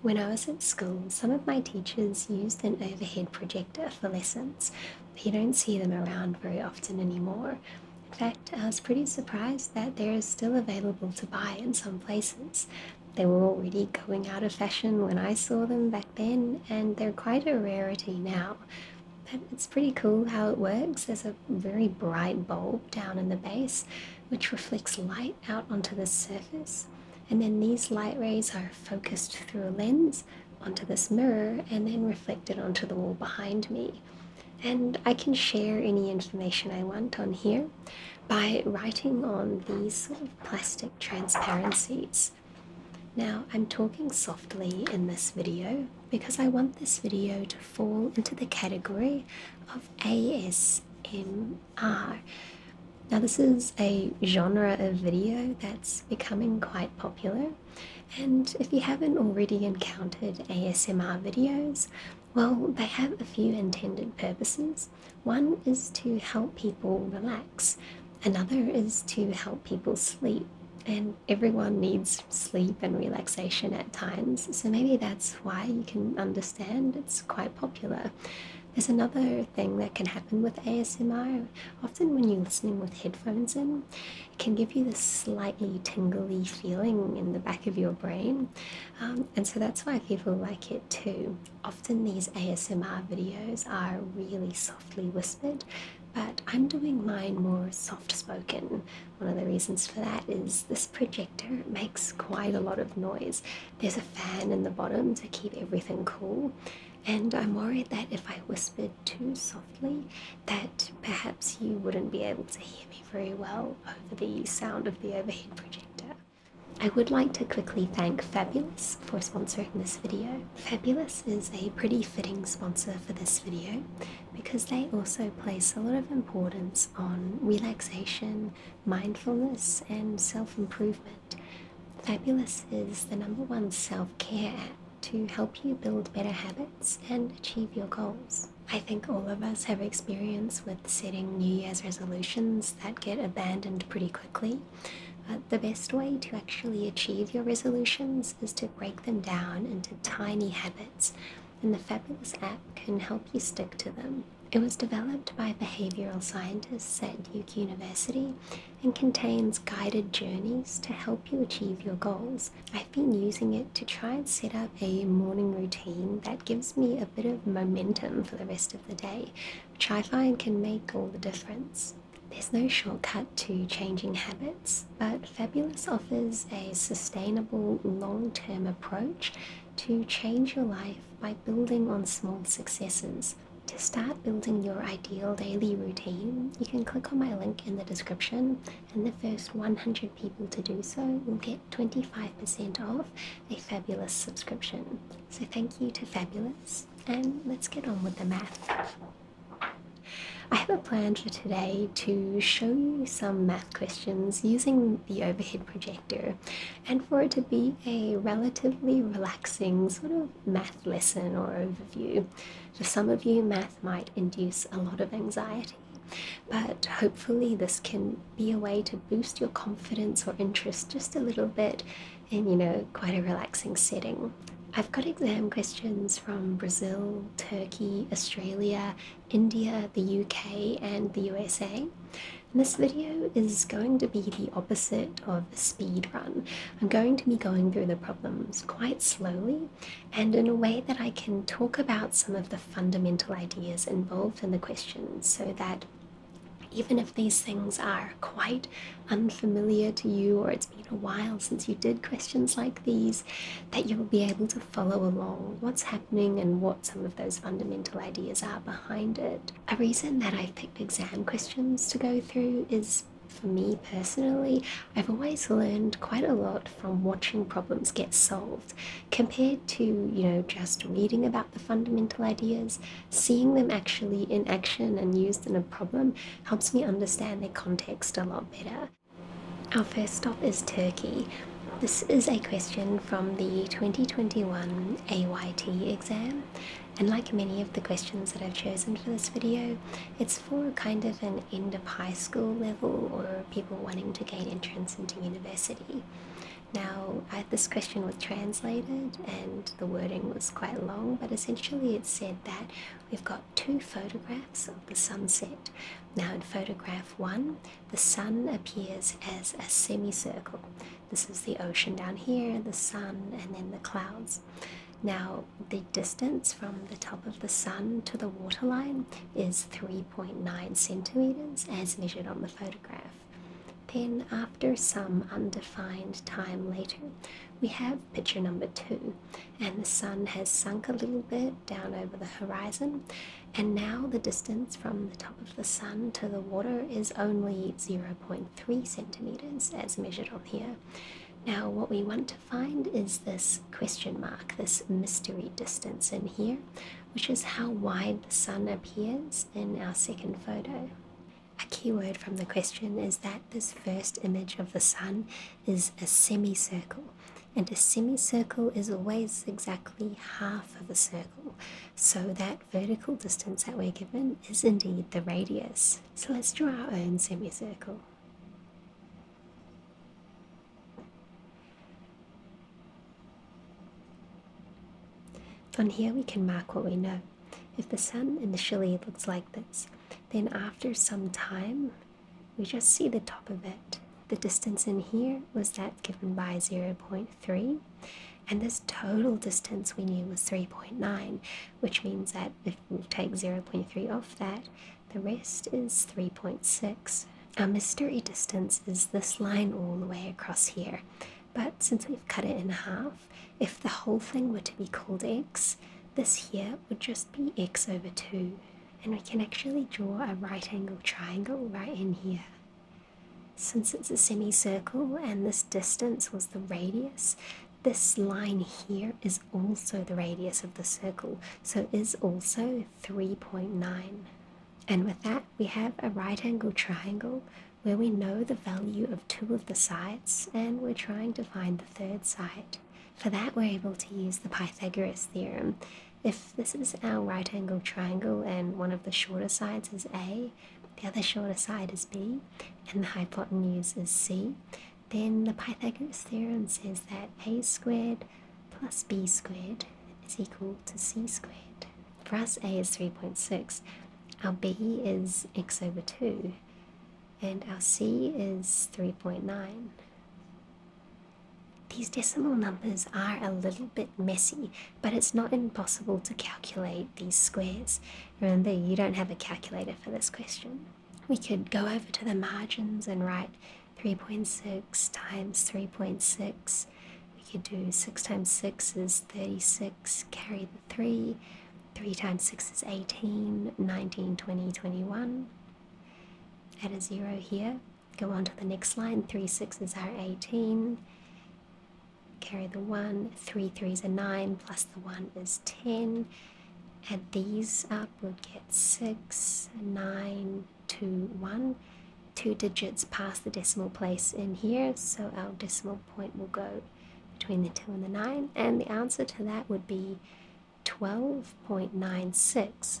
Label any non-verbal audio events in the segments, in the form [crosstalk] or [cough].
When I was at school, some of my teachers used an overhead projector for lessons, but you don't see them around very often anymore. In fact, I was pretty surprised that they're still available to buy in some places. They were already going out of fashion when I saw them back then, and they're quite a rarity now. But it's pretty cool how it works. There's a very bright bulb down in the base, which reflects light out onto the surface and then these light rays are focused through a lens onto this mirror and then reflected onto the wall behind me. And I can share any information I want on here by writing on these sort of plastic transparencies. Now, I'm talking softly in this video because I want this video to fall into the category of ASMR are. Now, this is a genre of video that's becoming quite popular, and if you haven't already encountered ASMR videos, well, they have a few intended purposes. One is to help people relax, another is to help people sleep, and everyone needs sleep and relaxation at times, so maybe that's why you can understand it's quite popular. There's another thing that can happen with ASMR. Often, when you're listening with headphones in, it can give you this slightly tingly feeling in the back of your brain, um, and so that's why people like it too. Often, these ASMR videos are really softly whispered, but I'm doing mine more soft spoken. One of the reasons for that is this projector makes quite a lot of noise, there's a fan in the bottom to keep everything cool, and I'm worried that if I whispered too softly, that perhaps you wouldn't be able to hear me very well over the sound of the overhead projector. I would like to quickly thank Fabulous for sponsoring this video. Fabulous is a pretty fitting sponsor for this video because they also place a lot of importance on relaxation, mindfulness and self improvement. Fabulous is the number one self care app to help you build better habits and achieve your goals. I think all of us have experience with setting New Year's resolutions that get abandoned pretty quickly. the best way to actually achieve your resolutions is to break them down into tiny habits, and the Fabulous app can help you stick to them. It was developed by behavioral scientists at Duke University and contains guided journeys to help you achieve your goals. I've been using it to try and set up a morning routine that gives me a bit of momentum for the rest of the day, which I find can make all the difference. There's no shortcut to changing habits, but Fabulous offers a sustainable long term approach to change your life by building on small successes. To start building your ideal daily routine, you can click on my link in the description, and the first 100 people to do so will get 25% off a fabulous subscription. So, thank you to Fabulous, and let's get on with the math. I have a plan for today to show you some math questions using the overhead projector and for it to be a relatively relaxing sort of math lesson or overview. For some of you, math might induce a lot of anxiety, but hopefully, this can be a way to boost your confidence or interest just a little bit in, you know, quite a relaxing setting. I've got exam questions from Brazil, Turkey, Australia, India, the UK, and the USA this video is going to be the opposite of a speed run. I'm going to be going through the problems quite slowly and in a way that I can talk about some of the fundamental ideas involved in the questions so that even if these things are quite unfamiliar to you or it's been a while since you did questions like these, that you'll be able to follow along what's happening and what some of those fundamental ideas are behind it. A reason that I've picked exam questions to go through is for me personally, I've always learned quite a lot from watching problems get solved compared to, you know, just reading about the fundamental ideas. Seeing them actually in action and used in a problem helps me understand their context a lot better. Our first stop is Turkey, this is a question from the 2021 AYT exam, and like many of the questions that I've chosen for this video, it's for kind of an end of high school level or people wanting to gain entrance into university. Now, this question was translated and the wording was quite long, but essentially it said that we've got two photographs of the sunset. Now, in photograph one, the sun appears as a semicircle. This is the ocean down here, the sun, and then the clouds. Now, the distance from the top of the sun to the waterline is 3.9 centimeters as measured on the photograph. Then, after some undefined time later, we have picture number two, and the sun has sunk a little bit down over the horizon, and now the distance from the top of the sun to the water is only 0.3 centimeters as measured on here. Now, what we want to find is this question mark, this mystery distance in here, which is how wide the sun appears in our second photo. A keyword from the question is that this first image of the sun is a semicircle, and a semicircle is always exactly exactly half of a circle. So that vertical distance that we're given is indeed the radius. So let's draw our own semicircle. From here we can mark what we know. If the sun initially looks like this, then after some time we just see the top of it. The distance in here was that given by 0.3, and this total distance we knew was 3.9, which means that if we take 0.3 off that, the rest is 3.6. Our mystery distance is this line all the way across here, but since we've cut it in half, if the whole thing were to be called x, this here would just be x over 2, and we can actually draw a right angle triangle right in here. Since it's a semicircle and this distance was the radius, this line here is also the radius of the circle, so is also 3.9. And with that, we have a right angle triangle where we know the value of two of the sides and we're trying to find the third side. For that, we're able to use the Pythagoras theorem if this is our right angled triangle and one of the shorter sides is A, the other shorter side is B, and the hypotenuse is C, then the Pythagoras theorem says that A squared plus B squared is equal to C squared. For us, A is 3.6, our B is X over 2, and our C is 3.9. These decimal numbers are a little bit messy, but it's not impossible to calculate these squares. Remember, you don't have a calculator for this question. We could go over to the margins and write 3.6 times 3.6. We could do 6 times 6 is 36, carry the 3. 3 times 6 is 18, 19, 20, 21. Add a 0 here. Go on to the next line. Three sixes are 18. Carry the one. Three threes are nine, plus the one is 10. Add these up, we'll get six, nine, two, one. Two digits past the decimal place in here, so our decimal point will go between the 2 and the 9, and the answer to that would be 12.96.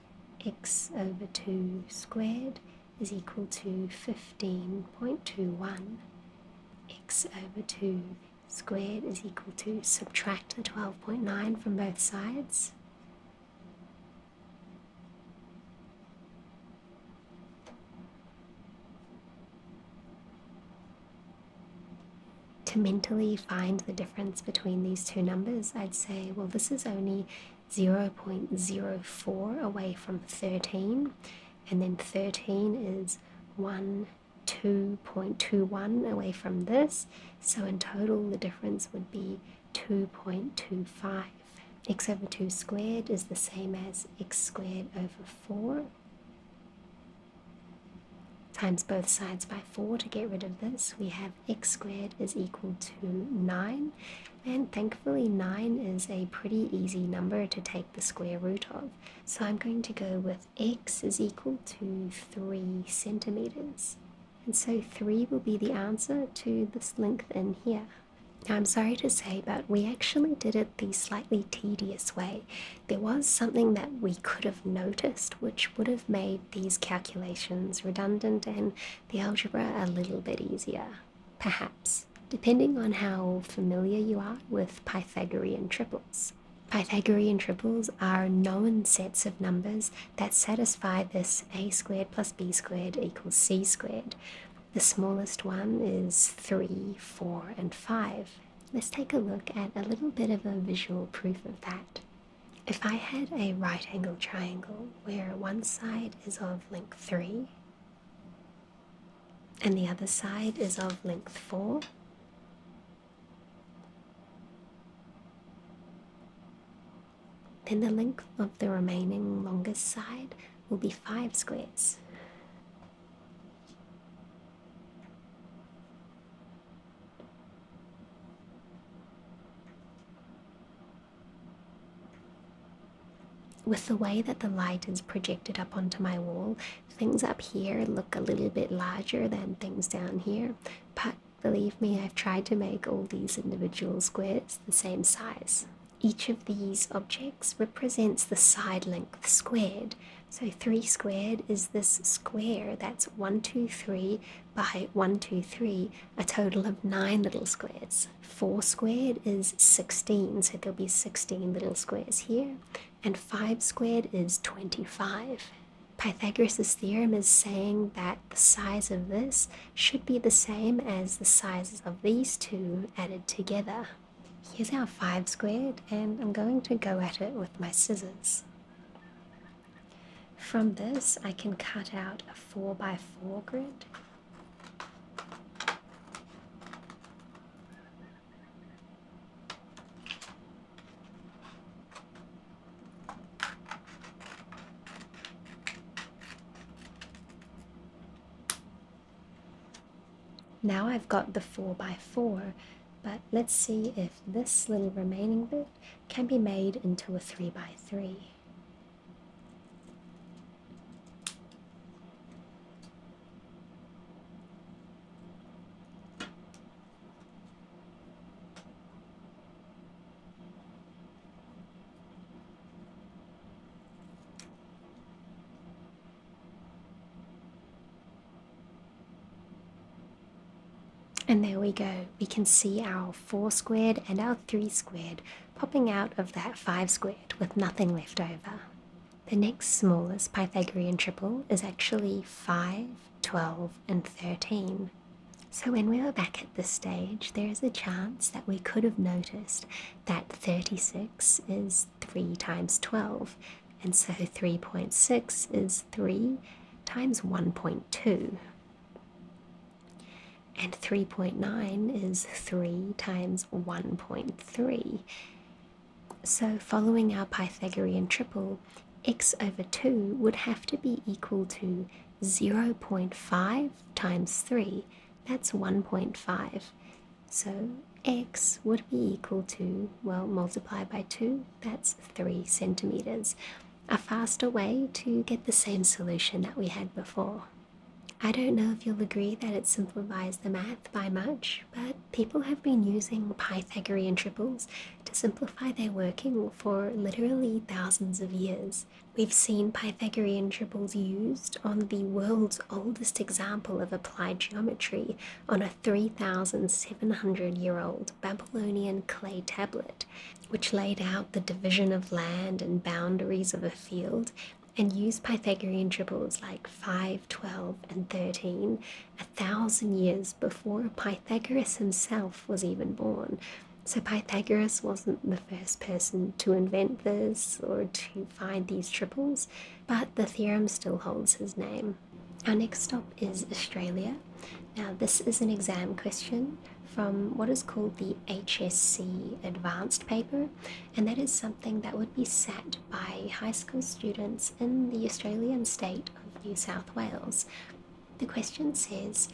x over 2 squared is equal to 15.21. x over 2 squared is equal to subtract the 12.9 from both sides. To mentally find the difference between these two numbers, I'd say, well, this is only 0.04 away from 13, and then 13 is 1. 2.21 away from this, so in total the difference would be 2.25. x over 2 squared is the same as x squared over 4 times both sides by 4 to get rid of this we have x squared is equal to 9 and thankfully 9 is a pretty easy number to take the square root of so i'm going to go with x is equal to 3 centimeters and so 3 will be the answer to this length in here now, I'm sorry to say, but we actually did it the slightly tedious way. There was something that we could have noticed which would have made these calculations redundant and the algebra a little bit easier, perhaps, depending on how familiar you are with Pythagorean triples. Pythagorean triples are known sets of numbers that satisfy this a squared plus b squared equals c squared. The smallest one is 3, 4, and 5. Let's take a look at a little bit of a visual proof of that. If I had a right angled triangle where one side is of length 3 and the other side is of length 4, then the length of the remaining longest side will be 5 squares. With the way that the light is projected up onto my wall, things up here look a little bit larger than things down here, but believe me, I've tried to make all these individual squares the same size. Each of these objects represents the side length squared. So 3 squared is this square that's 1, 2, 3, by 1, 2, 3, a total of 9 little squares. 4 squared is 16, so there'll be 16 little squares here, and 5 squared is 25. Pythagoras' theorem is saying that the size of this should be the same as the sizes of these two added together. Here's our 5 squared, and I'm going to go at it with my scissors. From this, I can cut out a 4 by 4 grid. Now I've got the 4 by 4 but let's see if this little remaining bit can be made into a 3 by 3 and there we go. We can see our 4 squared and our 3 squared popping out of that 5 squared with nothing left over. The next smallest Pythagorean triple is actually 5, 12, and 13. So when we were back at this stage, there is a chance that we could have noticed that 36 is 3 times 12, and so 3.6 is 3 times 1.2. And 3.9 is 3 times 1.3. So, following our Pythagorean triple, x over 2 would have to be equal to 0.5 times 3. That's 1.5. So, x would be equal to, well, multiply by 2, that's 3 centimeters a faster way to get the same solution that we had before. I don't know if you'll agree that it simplifies the math by much, but people have been using Pythagorean triples to simplify their working for literally thousands of years. We've seen Pythagorean triples used on the world's oldest example of applied geometry on a 3,700 year old Babylonian clay tablet which laid out the division of land and boundaries of a field and used Pythagorean triples like 5, 12, and 13 a thousand years before Pythagoras himself was even born. So Pythagoras wasn't the first person to invent this or to find these triples, but the theorem still holds his name. Our next stop is Australia, now, this is an exam question from what is called the HSC Advanced paper, and that is something that would be set by high school students in the Australian state of New South Wales. The question says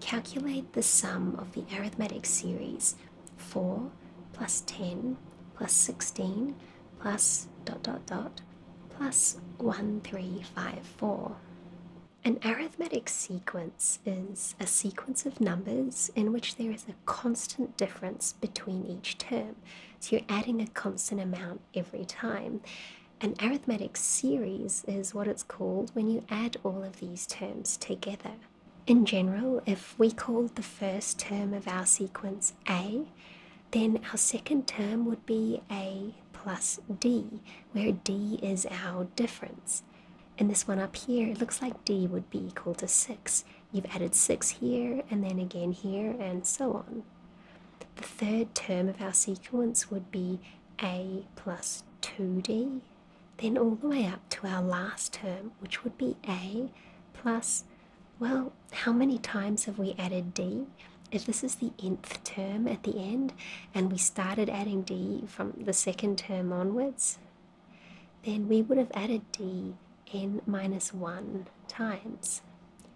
calculate the sum of the arithmetic series 4 plus 10 plus 16 plus dot dot dot plus 1354. An arithmetic sequence is a sequence of numbers in which there is a constant difference between each term, so you're adding a constant amount every time. An arithmetic series is what it's called when you add all of these terms together. In general, if we called the first term of our sequence A, then our second term would be A plus D, where d is our difference. And this one up here, it looks like d would be equal to 6. You've added 6 here, and then again here, and so on. The third term of our sequence would be a plus 2d, then all the way up to our last term, which would be a plus, well, how many times have we added d? if this is the nth term at the end and we started adding d from the second term onwards, then we would have added d n minus 1 times.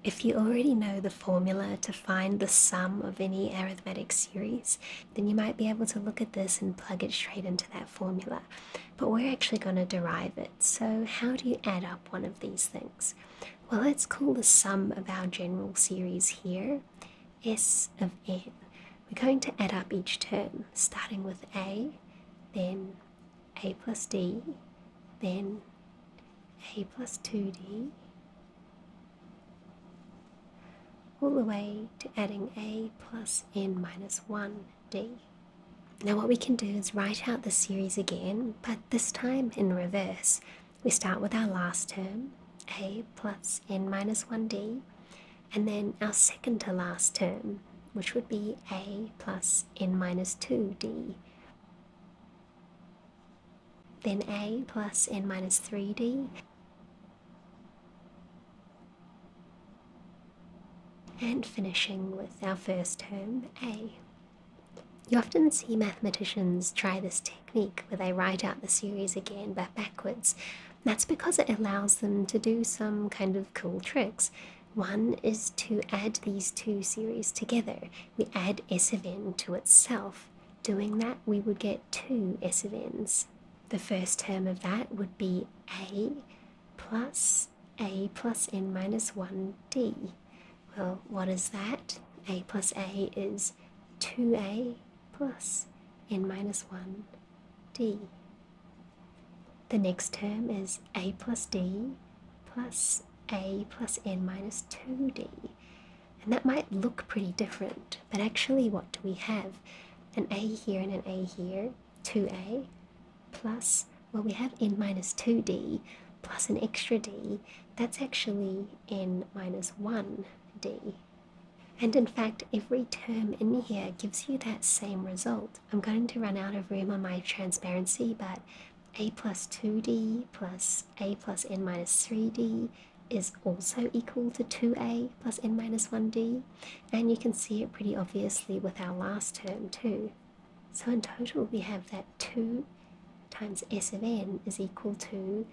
If you already know the formula to find the sum of any arithmetic series, then you might be able to look at this and plug it straight into that formula. But we're actually going to derive it. So, how do you add up one of these things? well, let's call the sum of our general series here S of n. We're going to add up each term, starting with a, then a plus d, then a plus 2d, all the way to adding a plus n minus 1d. Now, what we can do is write out the series again, but this time in reverse we start with our last term, a plus n minus 1d, and then our second to last term, which would be a plus n minus 2d. Then a plus n minus 3d, and finishing with our first term, a. You often see mathematicians try this technique where they write out the series again but backwards. That's because it allows them to do some kind of cool tricks. One is to add these two series together. We add S of n to itself. Doing that, we would get two S of n's. The first term of that would be a plus a plus n minus 1d. Well, what is that? a plus a is 2a plus n minus 1d. The next term is a plus d plus a plus n minus 2d. And that might look pretty different, but actually, what do we have? An a here and an a here, 2a, plus, well, we have n minus 2d, plus an extra d, that's actually n minus 1d. And in fact, every term in here gives you that same result. I'm going to run out of room on my transparency, but a plus 2d plus a plus n minus 3d is also equal to 2a plus n minus 1d, and you can see it pretty obviously with our last term too. So in total, we have that 2 times s of n is equal to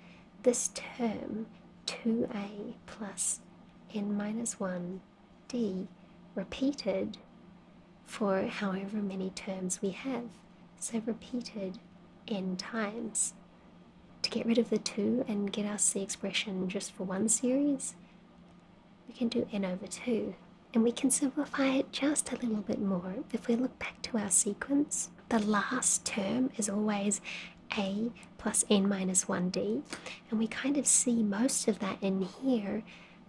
this term 2a plus n minus 1 d repeated for however many terms we have. So repeated n times. To get rid of the 2 and get us the expression just for one series, we can do n over 2. And we can simplify it just a little bit more. If we look back to our sequence, the last term is always a plus n minus 1d, and we kind of see most of that in here,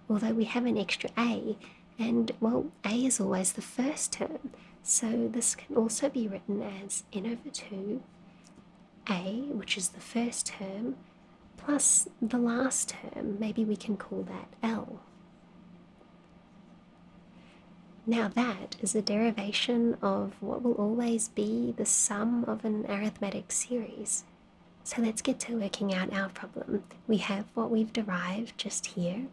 although we have an extra a, and well, a is always the first term, so this can also be written as n over 2 a, which is the first term, plus the last term. Maybe we can call that L. Now, that is a derivation of what will always be the sum of an arithmetic series. So let's get to working out our problem. We have what we've derived just here,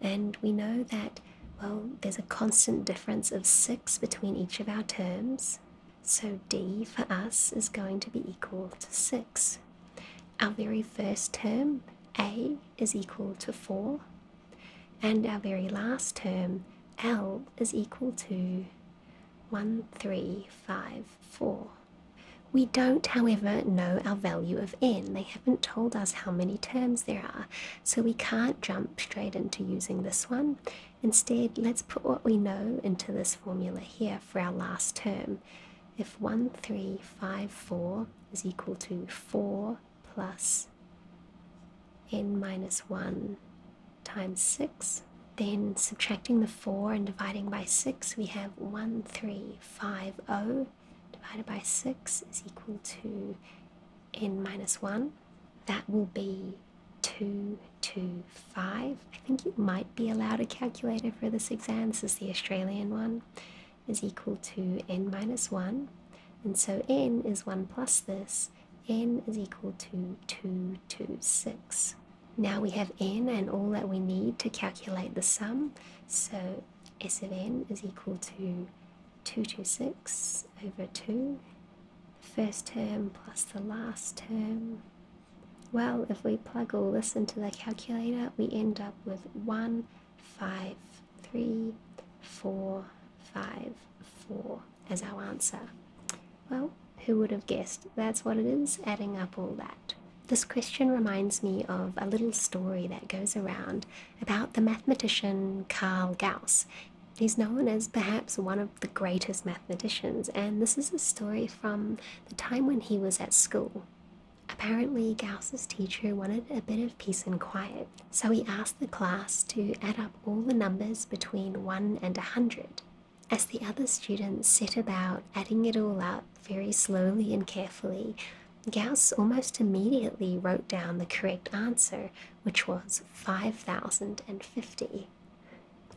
and we know that, well, there's a constant difference of 6 between each of our terms. So d for us is going to be equal to 6 our very first term, a, is equal to 4, and our very last term, l, is equal to one, three, five, four. We don't, however, know our value of n. They haven't told us how many terms there are, so we can't jump straight into using this one. Instead, let's put what we know into this formula here for our last term if 1354 is equal to 4 plus n minus 1 times 6, then subtracting the 4 and dividing by 6, we have 1350 divided by 6 is equal to n minus 1. That will be 225. I think you might be allowed a calculator for this exam. This is the Australian one is equal to n minus 1, and so n is 1 plus this, n is equal to 2 to 6. Now we have n and all that we need to calculate the sum, so s of n is equal to 2 to 6 over 2, the first term plus the last term. Well, if we plug all this into the calculator, we end up with 1, 5, three, four, five, four as our answer. Well, who would have guessed? That's what it is, adding up all that. This question reminds me of a little story that goes around about the mathematician Carl Gauss. He's known as perhaps one of the greatest mathematicians, and this is a story from the time when he was at school. Apparently, Gauss's teacher wanted a bit of peace and quiet, so he asked the class to add up all the numbers between 1 and 100. As the other students set about adding it all up very slowly and carefully, Gauss almost immediately wrote down the correct answer, which was 5050.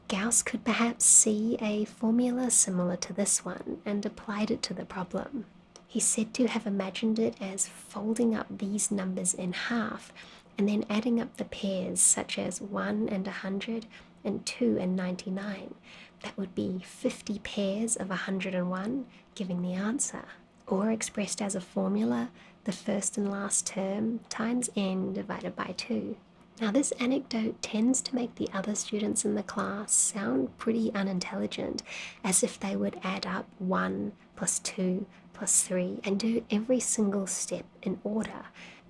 Gauss could perhaps see a formula similar to this one and applied it to the problem. He's said to have imagined it as folding up these numbers in half and then adding up the pairs, such as 1 and 100 and 2 and 99. That would be 50 pairs of 101, giving the answer. Or expressed as a formula, the first and last term times n divided by 2. Now, this anecdote tends to make the other students in the class sound pretty unintelligent, as if they would add up one plus two plus three and do every single step in order.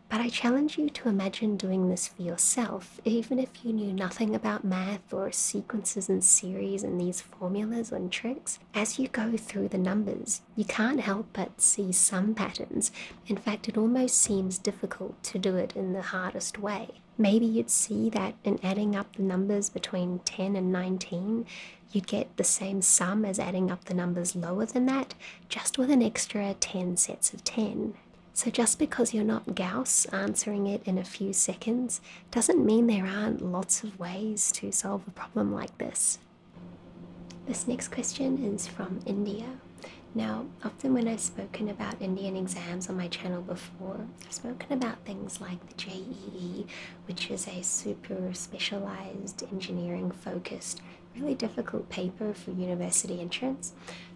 But I challenge you to imagine doing this for yourself, even if you knew nothing about math or sequences and series and these formulas and tricks. As you go through the numbers, you can't help but see some patterns. In fact, it almost seems difficult to do it in the hardest way. Maybe you'd see that in adding up the numbers between 10 and 19, you'd get the same sum as adding up the numbers lower than that, just with an extra 10 sets of 10. So, just because you're not Gauss answering it in a few seconds doesn't mean there aren't lots of ways to solve a problem like this. This next question is from India. Now, often when I've spoken about Indian exams on my channel before, I've spoken about things like the JEE, which is a super specialized engineering focused, really difficult paper for university entrance.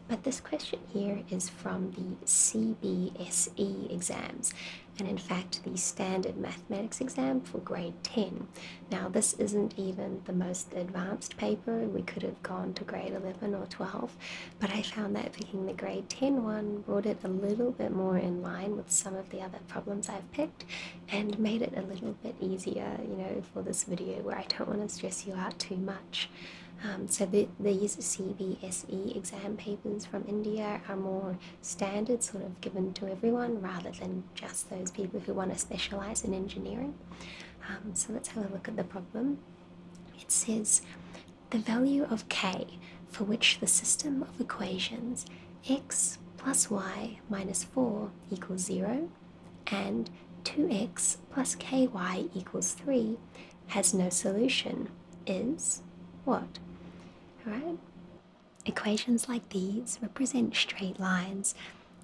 But this question here is from the CBSE exams, and in fact, the standard mathematics exam for grade 10. Now, this isn't even the most advanced paper, we could have gone to grade 11 or 12, but I found that picking the grade 10 one brought it a little bit more in line with some of the other problems I've picked and made it a little bit easier, you know, for this video where I don't want to stress you out too much. Um, so these CBSE exam papers from India are more standard, sort of given to everyone rather than just those people who want to specialize in engineering. Um, so let's have a look at the problem. It says the value of k for which the system of equations x plus y minus 4 equals 0 and 2x plus ky equals 3 has no solution is what? Alright? Equations like these represent straight lines,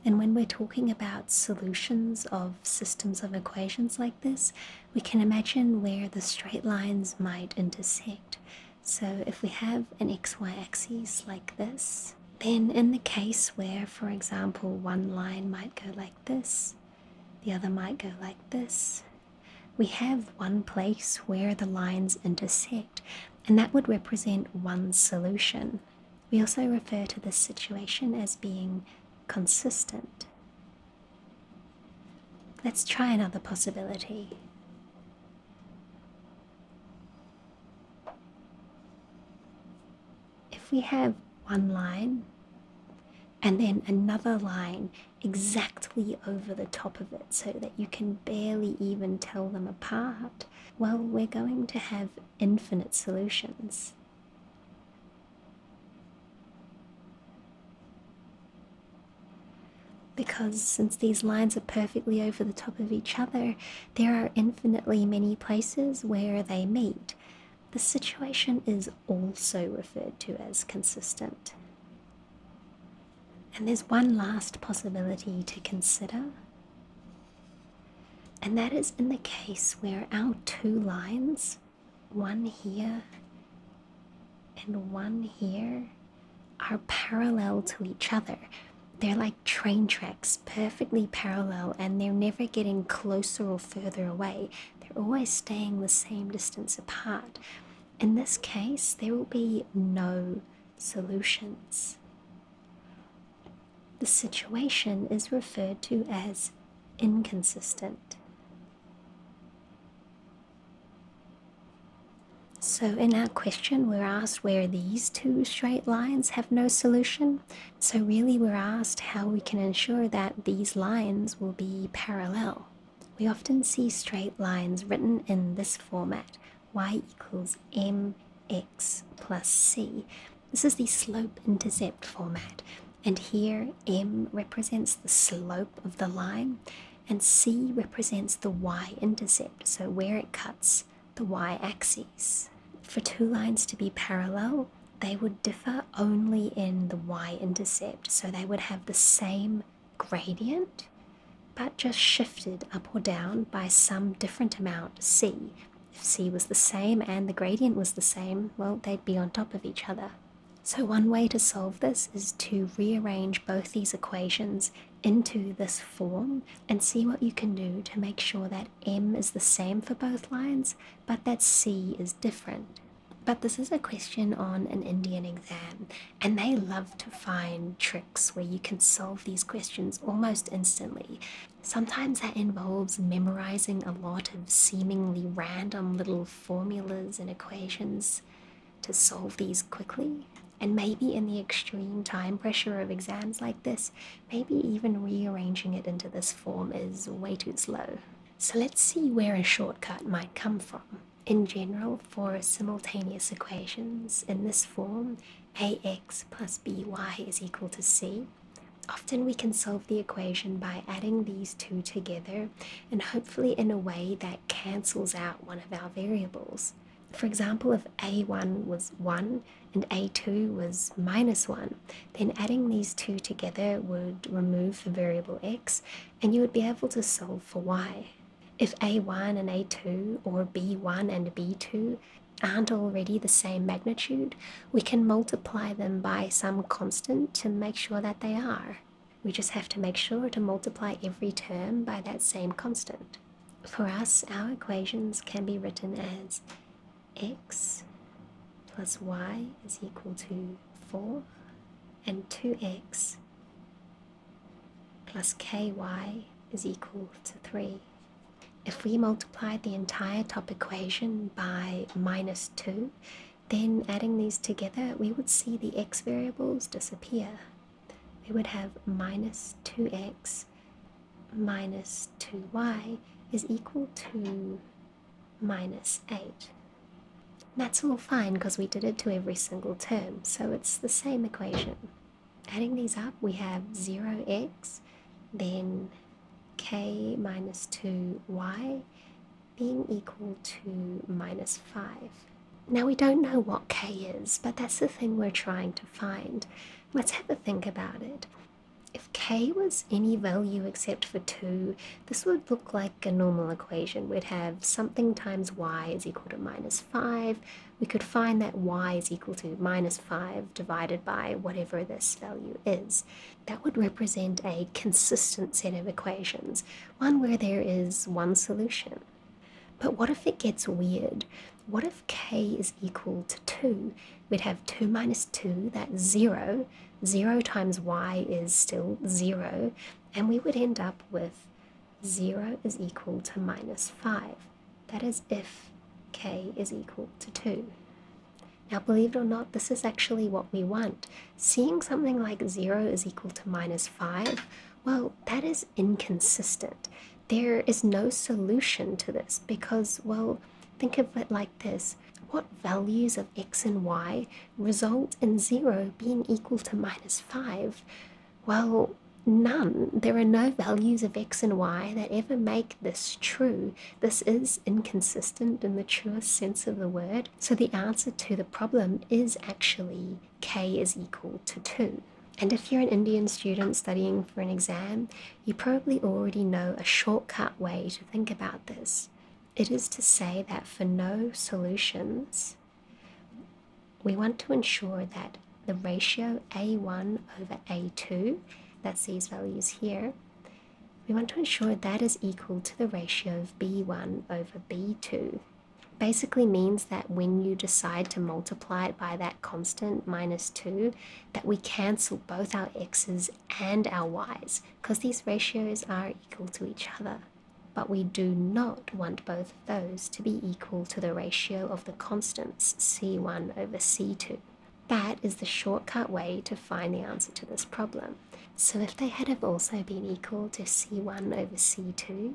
and when we're talking about solutions of systems of equations like this, we can imagine where the straight lines might intersect. So if we have an xy axis like this, then in the case where, for example, one line might go like this, the other might go like this, we have one place where the lines intersect, and that would represent one solution. We also refer to this situation as being consistent. Let's try another possibility. If we have one line and then another line exactly over the top of it so that you can barely even tell them apart, well, we're going to have infinite solutions. Because since these lines are perfectly over the top of each other, there are infinitely many places where they meet. The situation is also referred to as consistent. And there's one last possibility to consider, and that is in the case where our two lines one here and one here are parallel to each other. They're like train tracks, perfectly parallel, and they're never getting closer or further away. They're always staying the same distance apart. In this case, there will be no solutions. The situation is referred to as inconsistent. So, in our question, we're asked where these two straight lines have no solution. So, really, we're asked how we can ensure that these lines will be parallel. We often see straight lines written in this format y equals mx plus c. This is the slope intercept format, and here M represents the slope of the line, and C represents the y intercept, so where it cuts the y axis. For two lines to be parallel, they would differ only in the y intercept, so they would have the same gradient but just shifted up or down by some different amount c. If c was the same and the gradient was the same, well, they'd be on top of each other. So one way to solve this is to rearrange both these equations into this form and see what you can do to make sure that m is the same for both lines but that c is different. But this is a question on an Indian exam, and they love to find tricks where you can solve these questions almost instantly. Sometimes that involves memorizing a lot of seemingly random little formulas and equations to solve these quickly. And maybe in the extreme time pressure of exams like this, maybe even rearranging it into this form is way too slow. So let's see where a shortcut might come from. In general, for simultaneous equations in this form, ax plus by is equal to c, Often we can solve the equation by adding these two together and hopefully in a way that cancels out one of our variables. For example, if a1 was 1 and a2 was minus 1, then adding these two together would remove the variable x and you would be able to solve for y. If a1 and a2 or b1 and b2 aren't already the same magnitude, we can multiply them by some constant to make sure that they are. We just have to make sure to multiply every term by that same constant. For us, our equations can be written as x plus y is equal to 4 and 2x plus ky is equal to 3. If we multiply the entire top equation by minus 2, then adding these together, we would see the x variables disappear. We would have minus 2x minus 2y is equal to minus 8. That's all fine because we did it to every single term, so it's the same equation. Adding these up, we have 0x, then k minus 2y being equal to minus 5. Now we don't know what k is, but that's the thing we're trying to find. Let's have a think about it. If k was any value except for 2, this would look like a normal equation. We'd have something times y is equal to minus 5. We could find that y is equal to minus 5 divided by whatever this value is that would represent a consistent set of equations, one where there is one solution. But what if it gets weird? What if k is equal to 2? We'd have 2 minus 2, that's 0. 0 times y is still 0. And we would end up with 0 is equal to minus 5. That is if k is equal to 2. Now, believe it or not, this is actually what we want. Seeing something like 0 is equal to minus 5, well, that is inconsistent. There is no solution to this because, well, think of it like this. What values of x and y result in 0 being equal to minus 5? Well, none. There are no values of x and y that ever make this true. This is inconsistent in the truest sense of the word, so the answer to the problem is actually k is equal to 2. And if you're an Indian student studying for an exam, you probably already know a shortcut way to think about this. It is to say that for no solutions, we want to ensure that the ratio a1 over a2, that's these values here, we want to ensure that is equal to the ratio of b1 over b2. Basically means that when you decide to multiply it by that constant minus 2, that we cancel both our x's and our y's because these ratios are equal to each other. But we do not want both of those to be equal to the ratio of the constants c1 over c2. That is the shortcut way to find the answer to this problem. So if they had have also been equal to c1 over c2,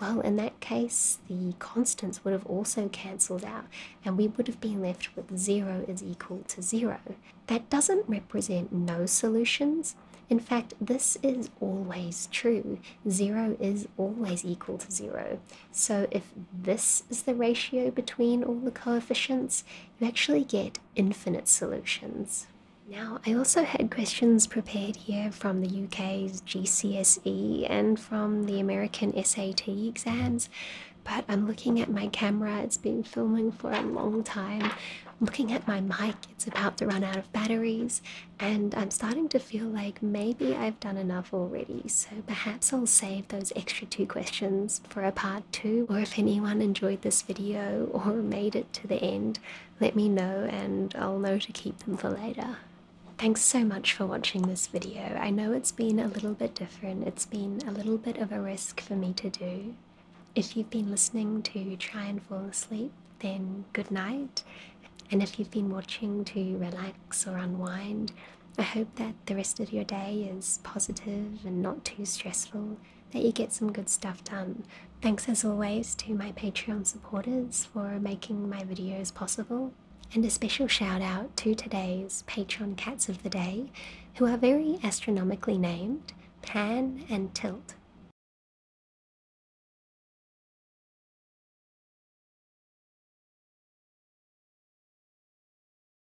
well in that case the constants would have also cancelled out and we would have been left with 0 is equal to 0. That doesn't represent no solutions. In fact, this is always true. 0 is always equal to 0. So if this is the ratio between all the coefficients, you actually get infinite solutions. Now, I also had questions prepared here from the UK's GCSE and from the American SAT exams, but I'm looking at my camera, it's been filming for a long time. I'm looking at my mic, it's about to run out of batteries, and I'm starting to feel like maybe I've done enough already, so perhaps I'll save those extra two questions for a part two, or if anyone enjoyed this video or [laughs] made it to the end, let me know and I'll know to keep them for later. Thanks so much for watching this video. I know it's been a little bit different, it's been a little bit of a risk for me to do. If you've been listening to try and fall asleep, then good night. And if you've been watching to relax or unwind, I hope that the rest of your day is positive and not too stressful, that you get some good stuff done. Thanks as always to my Patreon supporters for making my videos possible, and a special shout out to today's Patreon cats of the day, who are very astronomically named Pan and Tilt.